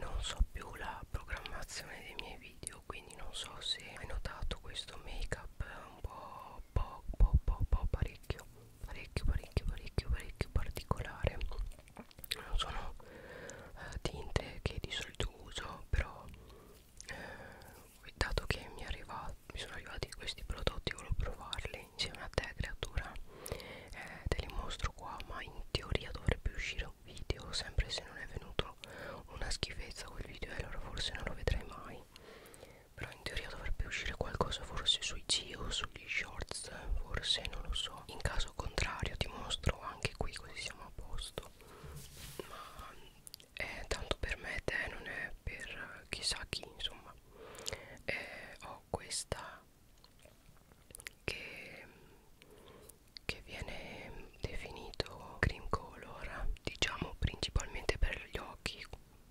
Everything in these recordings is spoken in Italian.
non so più la programmazione dei miei video quindi non so se hai notato questo make up un po' po' po' po', po parecchio parecchio parecchio parecchio parecchio particolare non sono eh, tinte che di solito uso però eh, dato che mi è arrivato mi sono arrivati questi prodotti volevo provarli insieme a te creatura eh, te li mostro qua ma in teoria dovrebbe uscire un video sempre se non è venuto una schifezza quel video e allora forse non lo vedrai mai però in teoria dovrebbe uscire qualcosa forse sui geo sugli shorts forse non lo so in caso contrario ti mostro anche qui così siamo a posto ma eh, tanto per me te non è per chissà chi insomma eh, ho questa che, che viene definito cream color diciamo principalmente per gli occhi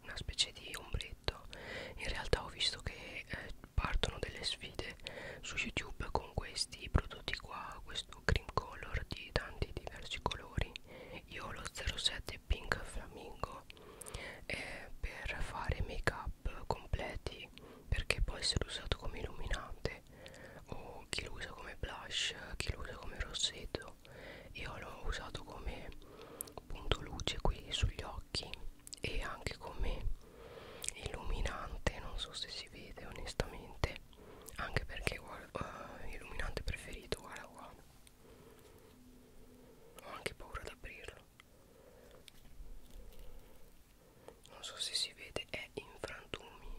una specie di ombretto in realtà ho visto che eh, partono delle sfide su youtube con questi prodotti qua questo cream color di tanti diversi colori io ho lo 07 pink flamingo eh, per fare make up completi perché può essere usato come illuminante o chi lo usa come blush chi lo usa come rossetto io l'ho usato come punto luce qui sugli occhi e anche come illuminante non so se si vede onestamente anche perché guarda, uh, illuminante preferito guarda qua ho anche paura ad aprirlo. Non so se si vede, è in frantumi.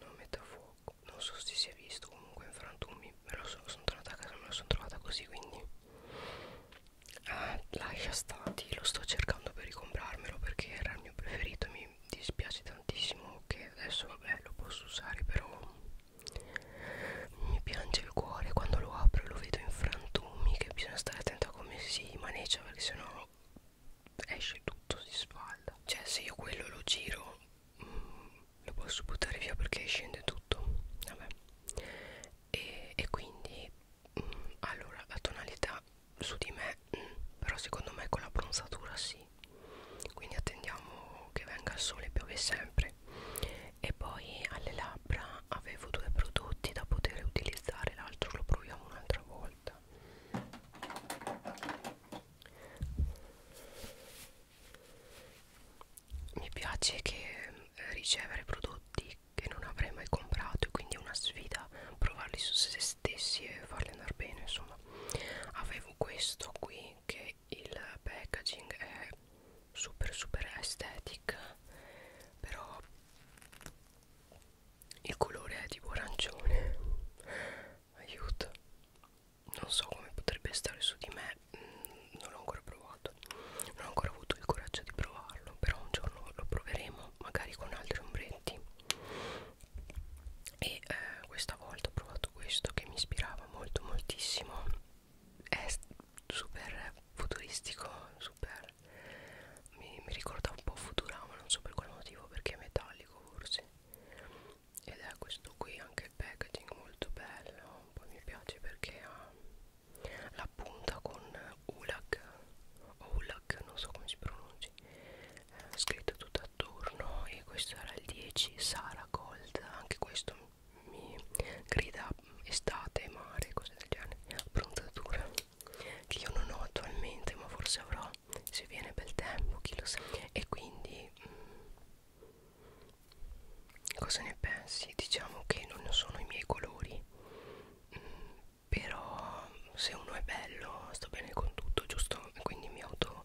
Non metto a fuoco. Non so se si è visto comunque in frantumi. Me lo so, sono tornata a casa, me lo sono trovata così quindi. Ah, lascia stati, lo sto cercando per ricomprarmelo perché era il mio preferito. Mi dispiace tantissimo che adesso vabbè lo posso usare però mi piange il cuore quando lo apro e lo vedo in frantumi che bisogna stare attento a come si maneggia perché sennò esce tutto si sfalda cioè se io quello lo giro mh, mm, lo posso buttare via perché scende tutto vabbè e, e quindi mh, mm, allora la tonalità su di me mh, mm, però secondo me con la bronzatura sì quindi attendiamo che venga il sole piove sempre e poi alle labbra avevo due prodotti da poter utilizzare l'altro lo proviamo un'altra volta mi piace che eh, ricevere prodotti che non avrei mai comprato e quindi è una sfida provarli su se stessi e farli andare bene insomma avevo questo qui che il packaging è super super aesthetic però il colore è tipo arancione aiuto non so come potrebbe stare su di me mm, non l'ho ancora provato non ho ancora avuto il coraggio di provarlo però un giorno lo proveremo magari con altri ombretti e eh, questa volta ho provato questo che mi ispirava molto moltissimo è super futuristico, super mi, mi ricorda un po' Futurama, non so per quale motivo, perché è metallico forse. Ed è questo qui, anche il packaging molto bello, poi mi piace perché ha la punta con Ulag o Ulag, non so come si pronunci, eh, scritto tutto attorno e questo era il 10 Sara Gold, anche questo mi grida estate, mare, cose del genere Prontatura che io non ho attualmente ma forse avrò se viene bel tempo, chi lo sa E quindi mh, mm, cosa ne pensi? Diciamo che non sono i miei colori mh, mm, Però se uno è bello sto bene con tutto, giusto? Quindi mi auto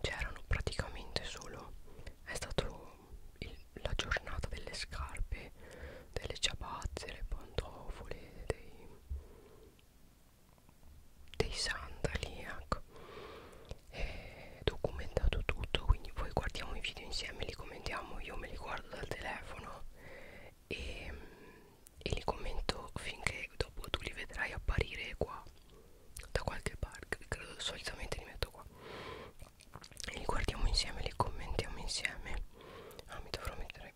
c'erano praticamente solo è stato il, la giornata delle scarpe delle ciabatte le pantofole dei, dei sandali ecco è documentato tutto quindi poi guardiamo i video insieme li commentiamo io me li guardo dal telefono e, e li commento finché dopo tu li vedrai apparire qua da qualche parte credo solitamente li metto qua e li guardiamo insieme li commentiamo insieme ah mi dovrò mettere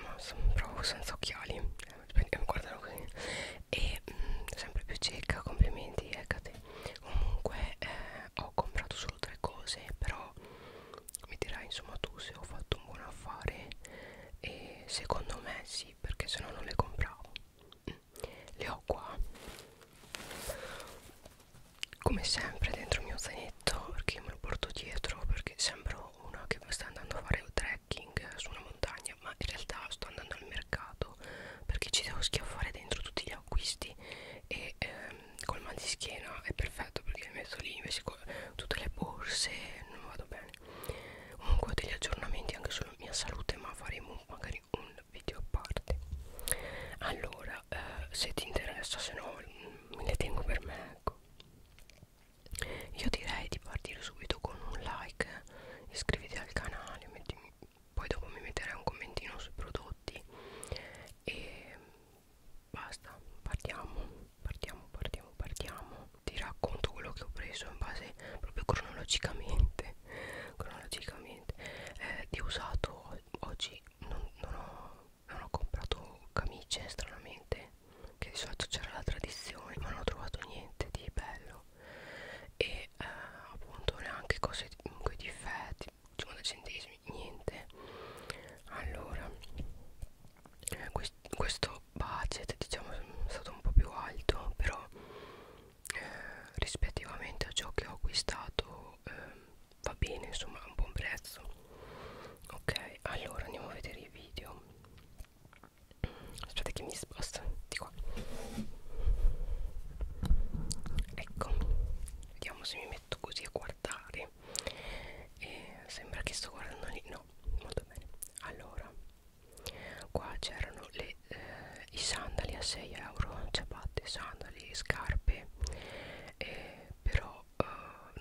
ma sono proprio senza occhiali eh, mi guardano così e mh, mm, sempre più cieca complimenti eccate comunque eh, ho comprato solo tre cose però mi dirai insomma tu se ho fatto un buon affare e secondo me sì sì perché se no non le compravo mm. le ho qua come sempre dentro il mio zainetto perché me lo porto dietro perché sembro una che sta andando a fare trekking su una montagna ma in realtà sto andando al mercato perché ci devo schiaffare dentro tutti gli acquisti e ehm, col mal di schiena è perfetto perché li metto lì invece con tutte le borse non vado bene comunque degli aggiornamenti anche sulla mia salute ma faremo magari un video a parte allora eh, se ti interessa se no me mm, le tengo per me ecco io direi di partire subito con un like eh. iscriviti al canale mettimi, poi dopo mi metterai un commentino sui prodotti e basta partiamo partiamo partiamo partiamo ti racconto quello che ho preso in base proprio cronologicamente cronologicamente eh, di usato oggi non, non, ho, non ho comprato camicie stranamente che di solito c'era la tradizione ma non ho trovato niente di bello e eh, appunto neanche cose comunque difetti 50 diciamo, centesimi niente allora eh, quest, questo budget diciamo è stato un po' più alto però eh, rispettivamente a ciò che ho acquistato eh, va bene insomma a un buon prezzo ok allora andiamo a vedere i video aspetta che mi sposta di qua ecco vediamo se mi metto così a guardare e eh, sembra che sto guardando lì no molto bene allora qua c'erano eh, i sandali a 6 euro ciabatte sandali scarpe eh, però eh,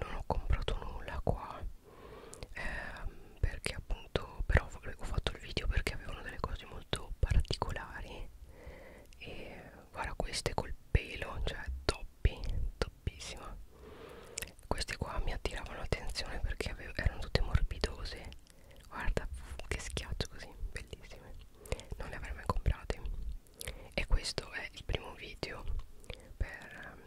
non ho comprato nulla qua eh, perché appunto però ho fatto il video perché avevano delle cose molto particolari e guarda queste col pelo cioè toppi toppissima questi qua mi attiravano l'attenzione perché avevo, erano tutte morbidose guarda che schiaccio così bellissime non le avrei mai comprate e questo è il primo video per,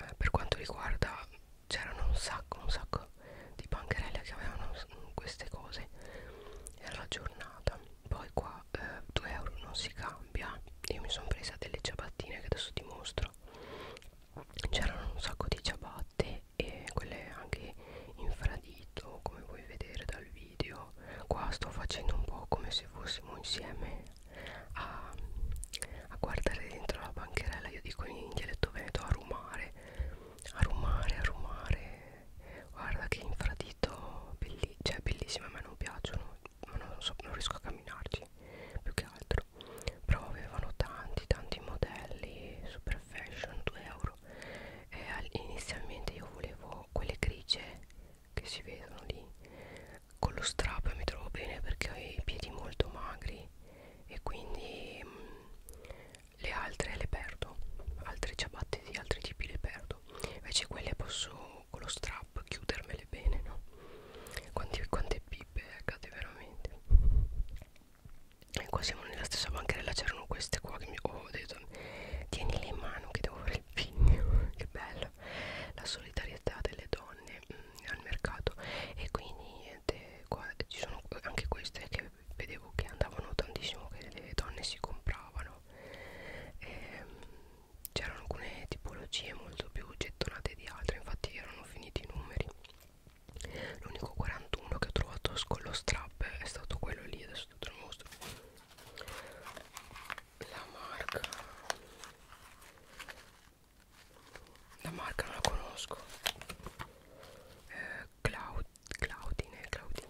eh, per quanto riguarda c'erano un sacco un sacco di bancherelle che avevano queste cose era la giornata poi qua eh, 2 euro non si cambia io mi sono presa delle ciabattine che adesso ti mostro c'erano un sacco di ciabatte e quelle anche infradito come puoi vedere dal video qua sto facendo un po' come se fossimo insieme a, a guardare dentro la bancherella io dico in dialetto veneto a rumare a rumare a rumare guarda che infradito belli cioè bellissime a me non piacciono ma non, so, non riesco a camminarci più che altro euro però avevano tanti tanti modelli super fashion 2 euro e inizialmente io volevo quelle grigie che si vedono lì con lo strap mi trovo bene perché ho i piedi molto magri e quindi mh, mm, le altre le perdo altre ciabatte di altri tipi le perdo invece quelle posso con lo strap trap chiudermele bene no quante, quante pippe accade eh, veramente e qua siamo nella stessa bancherella c'erano queste qua che mi oh, ho detto tienile in mano che devo fare il pigno che bello la solidarietà delle donne mh, mm, al mercato e quindi niente qua ci sono anche queste che vedevo che andavano tantissimo che le donne si compravano ehm, c'erano alcune tipologie molto più gettonate di altre infatti erano sono finiti i numeri l'unico 41 che ho trovato con lo strap è stato quello lì adesso te lo mostro la marca la marca non la conosco eh, Cloud, Claudine Claudine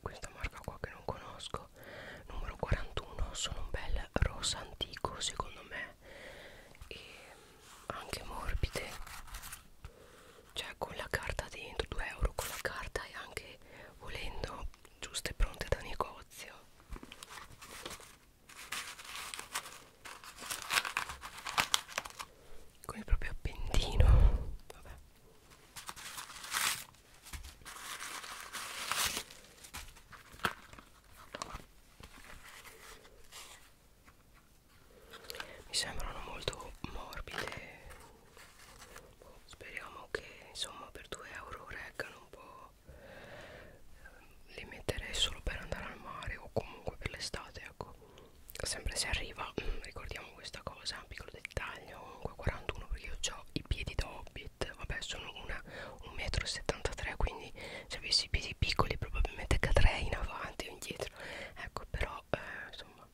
questa marca qua che non conosco numero 41 sono un bel rosa antico secondo me e anche morbide cioè con la carta dentro 2 euro con la carta e anche volendo giuste e pronte da negozio con il proprio appendino vabbè mi sembrano molto morbide speriamo che insomma per 2 euro reggano un po' li metterei solo per andare al mare o comunque per l'estate ecco sempre se arriva mm, ricordiamo con questa cosa un piccolo dettaglio comunque 41 perché io ho i piedi da hobbit vabbè sono una 1,73 m quindi se avessi i piedi piccoli probabilmente cadrei in avanti o indietro ecco però eh, insomma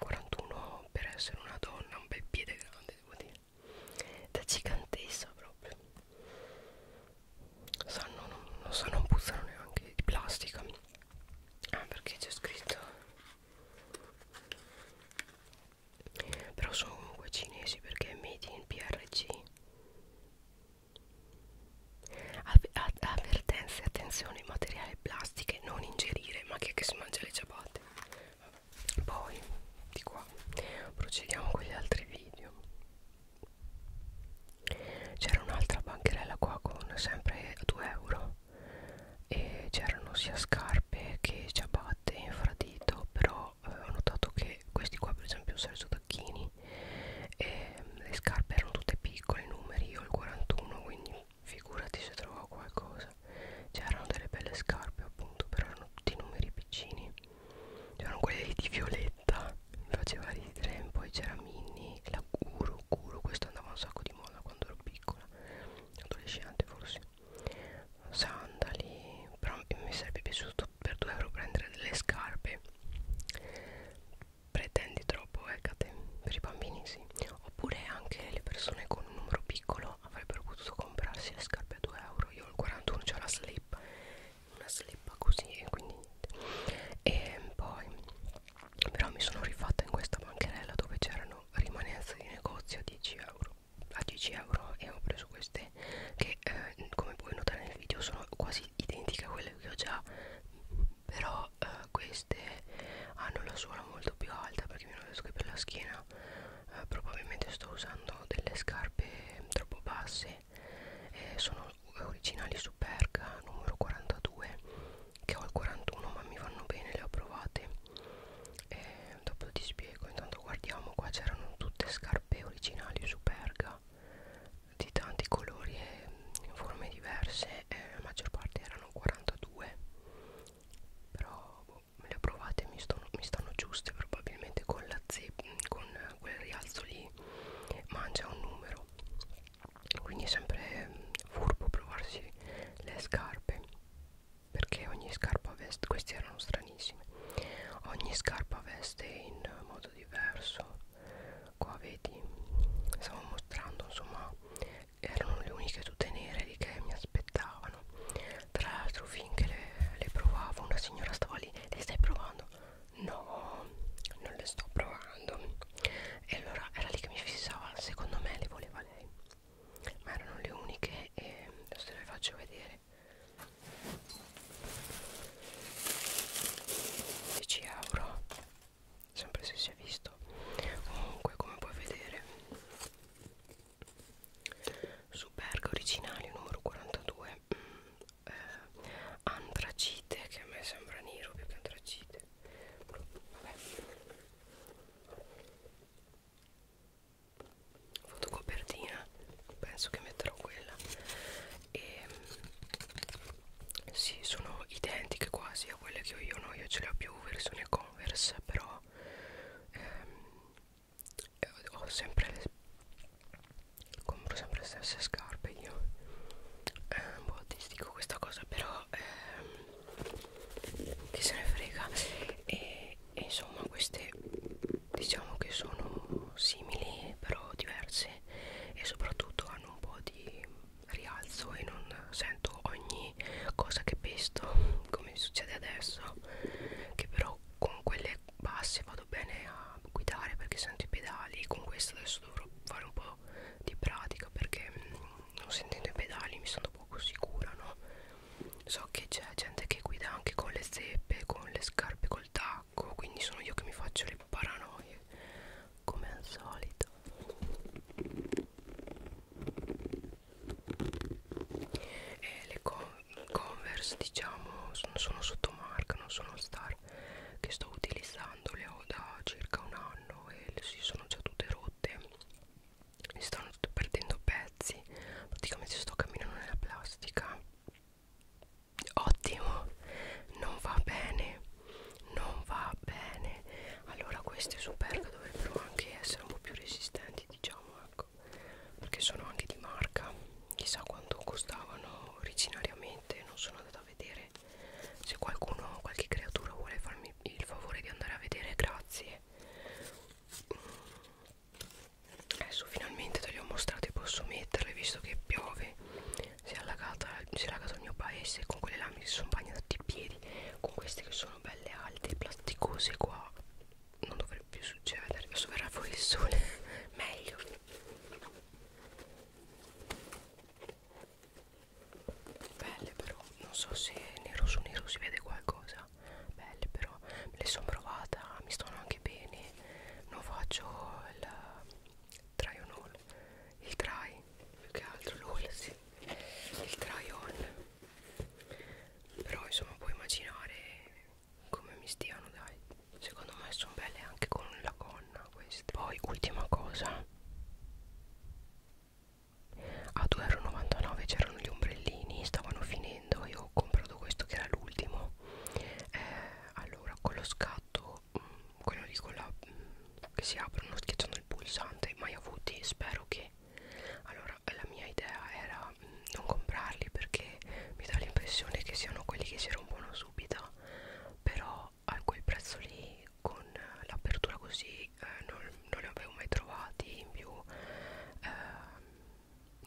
41 per essere una donna un bel piede grande devo dire da gigantessa proprio sanno non, non sanno non puzzano neanche di plastica ah perché c'è scritto però sono comunque cinesi perché è made in PRC Av ad avvertenze attenzione materiale plastiche non ingerire ma che, che si mangia le ciabatte poi di qua procediamo con gli altri video c'era un'altra bancherella qua con sempre 2 euro e c'erano sia scarpe che ciabatte infradito però eh, ho notato che questi qua per esempio Sergio Tacchini e ehm, le scarpe erano tutte piccole numeri io ho il 41 quindi figurati se trovavo qualcosa c'erano delle belle scarpe appunto però erano tutti numeri piccini c'erano quelle di violetta mi faceva ridere poi c'era Minnie la Guru Guru questo andava un sacco di moda quando ero piccola adolescente forse sandali però mi sarebbe piaciuto per 2 euro prendere delle scarpe pretendi troppo eccate eh, per i bambini sì oppure anche le persone con un numero piccolo avrebbero potuto comprarsi le scarpe a 2 euro io al 41 c'ho la slip una slip così e quindi niente e poi però mi sono rifatta in questa bancherella dove c'erano rimanenze di negozio a 10 euro a 10 euro e ho preso queste che eh, come puoi notare nel video sono quasi identiche a quelle che ho già però eh, queste hanno la suola molto più alta perché mi hanno detto che per la schiena eh, probabilmente sto usando delle scarpe troppo basse eh, sono originali su Perga numero 42 che ho il 41 ma mi vanno bene le ho provate e dopo ti spiego intanto guardiamo qua c'erano tutte scarpe originali superga di tanti colori e forme diverse e la maggior parte erano 42 però boh, me le ho provate mi, stono, mi stanno giuste probabilmente con la zip con quel rialzo lì mangia un numero quindi è sempre furbo provarsi le scarpe perché ogni scarpa veste questi erano stranissimi ogni scarpa veste in modo diverso qua vedi stavo mostrando insomma erano le uniche tutte nere lì che mi aspettavano tra l'altro finché le, le provavo una signora stava lì le stai provando no non le sto provando e allora era lì che mi fissava secondo me le voleva lei ma erano le uniche e adesso le faccio vedere euro sempre se si è visto comunque come puoi vedere su Berga originali numero 42 eh, antracite che a me sembra nero più che antracite Vabbè fotocopertina penso che metterò quella e mm, sì sono identiche quasi a quelle che ho io no io ce le ho più versione converse però ehm, ho sempre le, compro sempre le stesse scarpe io è ehm, un boh, po' artistico questa cosa però però ehm, che se ne frega e, e insomma queste diciamo che sono simili però diverse e soprattutto hanno un po' di rialzo e non sento ogni cosa che pesto come succede adesso che però con quelle basse vado bene a guidare perché sento i pedali con questa adesso dovrò fare un po' di pratica perché mh, mm, non sentendo i pedali mi sono poco sicura no so che c'è gente che guida anche con le zeppe con le scarpe col tacco quindi sono io che mi faccio le paranoie come al solito e le con converse diciamo sono, sono sotto marca non sono star che sto utilizzando le ho da circa un anno e si sono già tutte rotte tutte mi stanno tutte perdendo pezzi praticamente sto camminando nella plastica ottimo non va bene non va bene allora queste superga dovrebbero anche essere un po' più resistenti diciamo ecco perché sono anche di marca chissà quanto costavano originariamente non sono andata a vedere se qualcuno, qualche creatura vuole farmi il favore di andare a vedere, grazie mm. adesso finalmente te le ho mostrate posso metterle visto che piove si è, allagata, si è allagato il mio paese con quelle lame che sono bagnate i piedi con queste che sono belle alte plasticose qua non dovrebbe più succedere adesso verrà fuori il sole meglio belle però non so se nero su nero si vede qualcosa belle però me le sono provata mi stanno anche bene non faccio il try on all il try più che altro l'all sì. il try on però insomma puoi immaginare come mi stiano dai secondo me sono belle anche con la gonna queste poi ultima cosa a 2,99€ c'erano gli ombrellini stavano finendo io ho comprato questo che era l'ultimo eh, allora con lo scatto mh, mm, quello lì con la mh, mm, che si aprono schiacciando il pulsante mai avuti spero che allora la mia idea era mh, mm, non comprarli perché mi dà l'impressione che siano quelli che si rompono subito però a quel prezzo lì con l'apertura così eh, non, non li avevo mai trovati in più eh,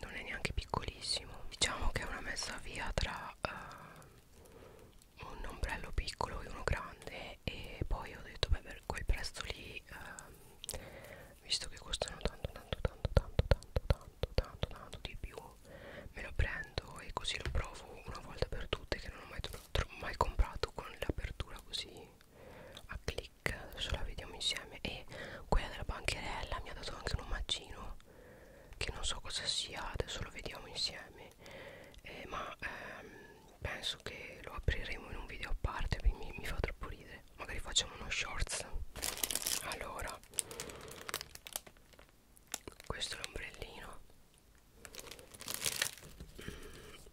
non è neanche piccolissimo diciamo che è una messa via tra eh, un ombrello piccolo e uno grande e poi ho detto beh per quel prezzo lì eh, visto che costano tanto tanto tanto tanto tanto tanto tanto tanto di più me lo prendo e così lo provo una volta per tutte che non ho mai l'ho mai comprato con l'apertura così a click adesso la vediamo insieme e quella della bancherella mi ha dato anche un omaggino che non so cosa sia adesso lo vediamo insieme eh, ma ehm, penso che lo apriremo in un video a parte mi, mi fa troppo ridere magari facciamo uno shorts allora questo è l'ombrellino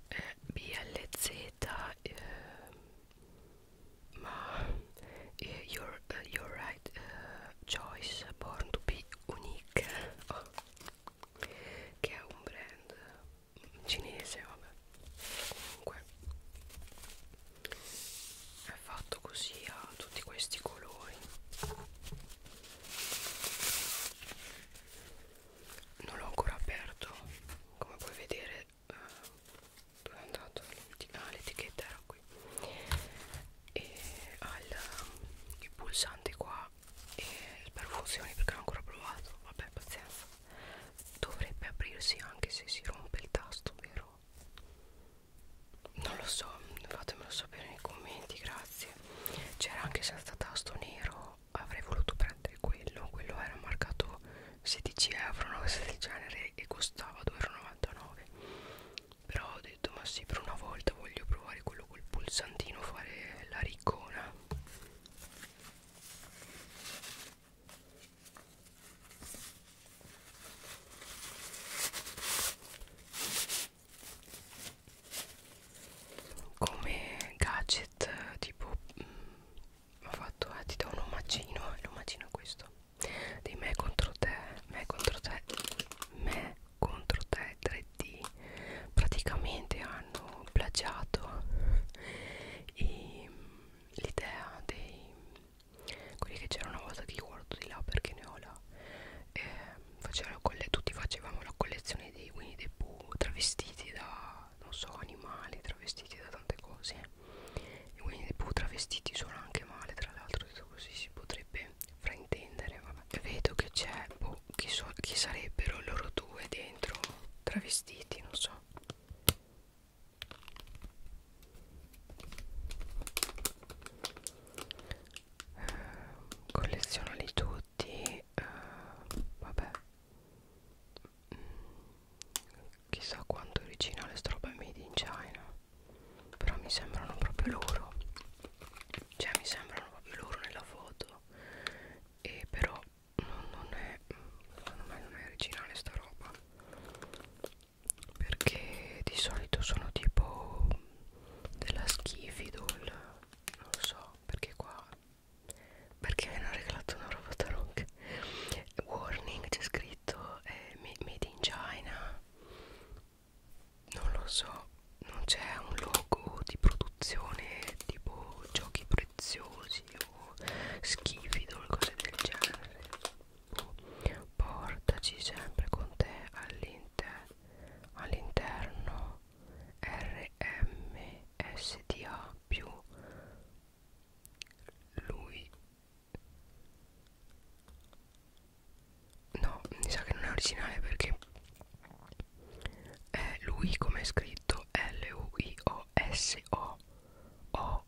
eh, BLZ eh, ma eh, your, uh, your right uh, choice born to be unique oh. che è un brand mm, cinese vabbè comunque è fatto così ha tutti questi colori non l'ho ancora aperto come puoi vedere eh, dove è andato ah, l'etichetta era qui e ha il, il pulsante qua e spero funzioni perché l'ho ancora provato vabbè pazienza dovrebbe aprirsi anche se si rompe il tasto vero non lo so fatemelo sapere nei commenti grazie grazie c'era anche senza tasto nero avrei voluto prendere quello quello era marcato 16 euro una cosa del genere e costava 2,99 euro però ho detto ma sì per una volta voglio provare quello col pulsantino fare la riccona come gadget tipo mh, mm, ho fatto eh, ti do un omacino e eh, l'omacino è questo dei me contro te me contro te me contro te 3D praticamente hanno plagiato l'idea dei quelli che c'era una volta che io guardo di là perché ne ho là eh, facevano tutti facevamo la collezione dei Winnie the Pooh travestiti da non so animali travestiti da tante cose i Winnie the Pooh travestiti sono anche male tra l'altro detto così si potrebbe fraintendere vabbè. vedo che c'è boh, chi, so, chi sarebbero loro due dentro travestiti non so ehm, collezionali tu prodotti eh, vabbè mm, chissà quanto originale sta roba made in China però mi sembrano proprio loro cioè mi sembrano proprio loro nella foto e però non, non è secondo me non è originale sta roba perché di solito sono tipo della schifidol non lo so perché qua perché mi hanno regalato una roba taronca warning c'è scritto eh, made in China non lo so non c'è un logo di produzione tipo giochi preziosi o schifido o cose del genere boh, portaci sempre con te all'interno all'interno RMSDA più lui no mi sa che non è originale perché è lui come è scritto L U I O S O O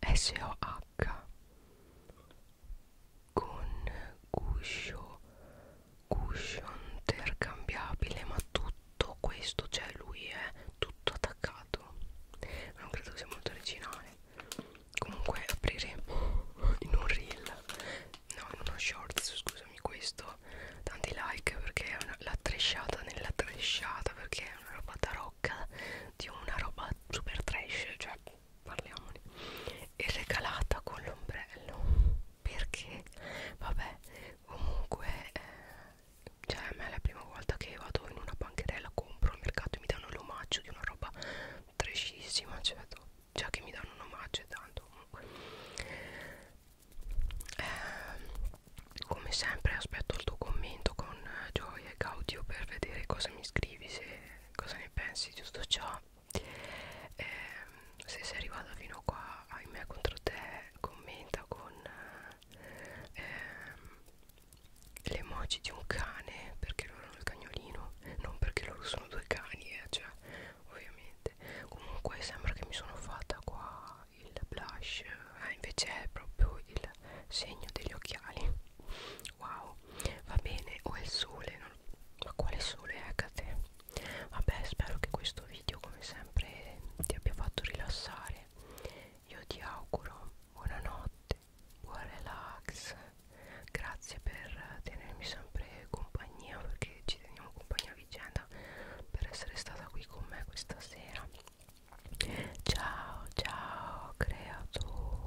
S O H con guscio cushion intercambiabile ma tutto questo cioè lui è tutto attaccato non credo che sia molto originale comunque apriremo in un reel no in uno shorts scusami questo tanti like perché è una, la tresciata nella tresciata perché è una roba tarocca di una roba super trash cioè parliamone e regalata con l'ombrello perché vabbè comunque eh, cioè a me è la prima volta che vado in una bancherella compro al mercato e mi danno l'omaggio di una roba trescissima cioè già che mi danno un omaggio e tanto comunque eh, come sempre aspetto il tuo commento con gioia e gaudio per vedere cosa mi scrivi se cosa ne pensi giusto ciao eh, se sei arrivata fino a qua ahimè contro te commenta con eh, le emoji di un cane perché loro hanno il cagnolino non perché loro sono due cani eh, cioè ovviamente comunque sembra che mi sono fatta qua il blush eh, invece è proprio il segno degli occhiali wow va bene o è il sole non ma quale sole Ecate vabbè spero che questo video come sempre ti abbia fatto rilassare io ti auguro buonanotte buon relax grazie per tenermi sempre compagnia perché ci teniamo compagnia a vicenda per essere stata qui con me questa sera ciao ciao creatura